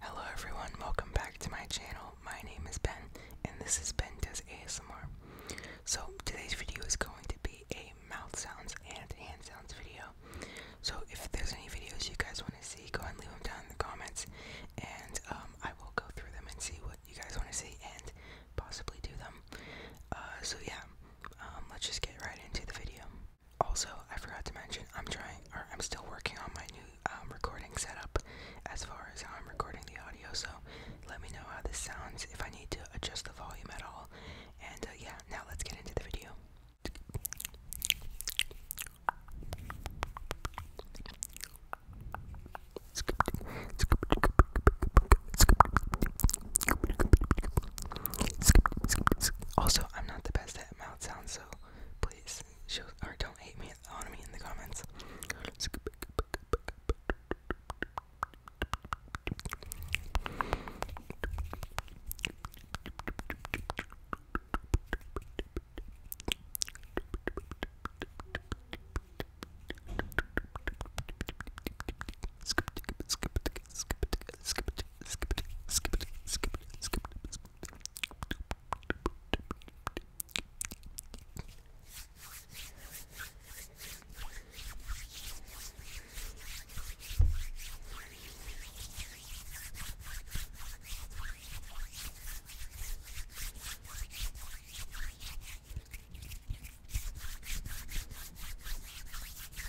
Hello everyone, welcome back to my channel. My name is Ben, and this is Ben Does ASMR. So today's video is going to be a mouth sounds and hand sounds video. So if there's any videos you guys want to see, go ahead and leave them down in the comments, and um, I will go through them and see what you guys want to see and possibly do them. Uh, so yeah, um, let's just get right into the video. Also, I forgot to mention I'm trying, or I'm still working on my new um, recording setup as far as how I'm recording the audio. So let me know how this sounds if I need to adjust the volume at all. And uh, yeah, now let's get into the video. Also, I'm not the best guys that mouth sound, so please show or don't hate me on me in the comments. Skip, skip, skip, skip, skip, it, skip it, skip it, skip it, skip it.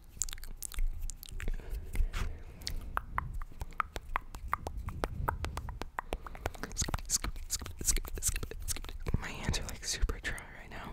Skip, skip, skip, skip, skip. My hands are like super dry right now.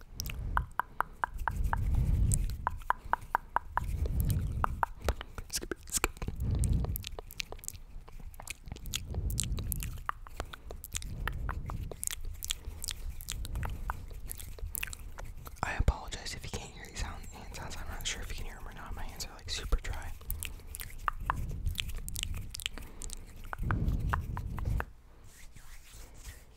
I apologize if you can't hear these sound hand hands I'm not sure if you can hear them or not. My hands are like super dry.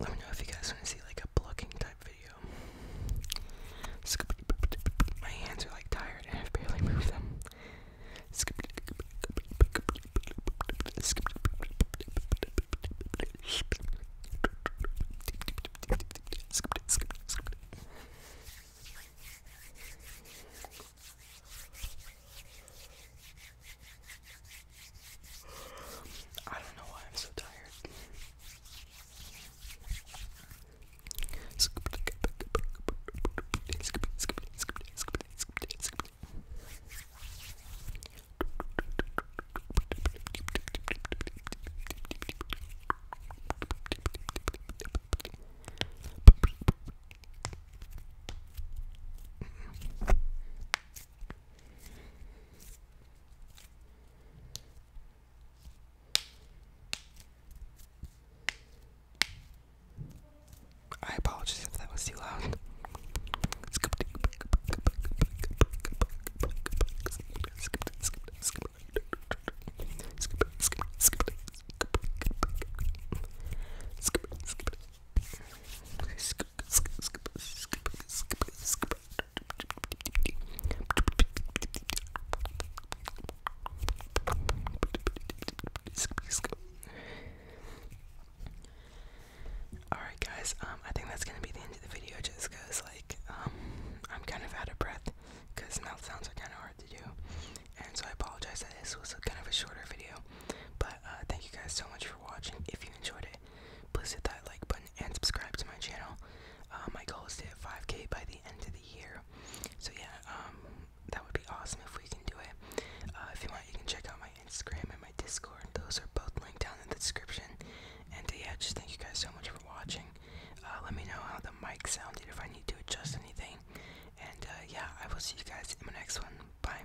let me know if you guys want to see like a blocking type video. my hands are like tired and i barely moved them. I don't know why I'm so tired. I apologize if that was too loud. Alright guys, um I think that's gonna be the end of the video just cause like um I'm kind of out of breath because mouth sounds are kinda hard to do. And so I apologize that this was kind of a shorter video. But uh, thank you guys so much for watching. If you enjoyed it, please hit that like button and subscribe to my channel. Uh, my goal is to hit 5k by the end of the year. So yeah, um, that would be awesome if we can do it. Uh, if you want, you can check out my Instagram and my Discord. Those are both linked down in the description. And uh, yeah, just thank you guys so much for watching. let me know how the mic sounded if I need to adjust anything. And yeah, I will see you guys in my next one. Bye.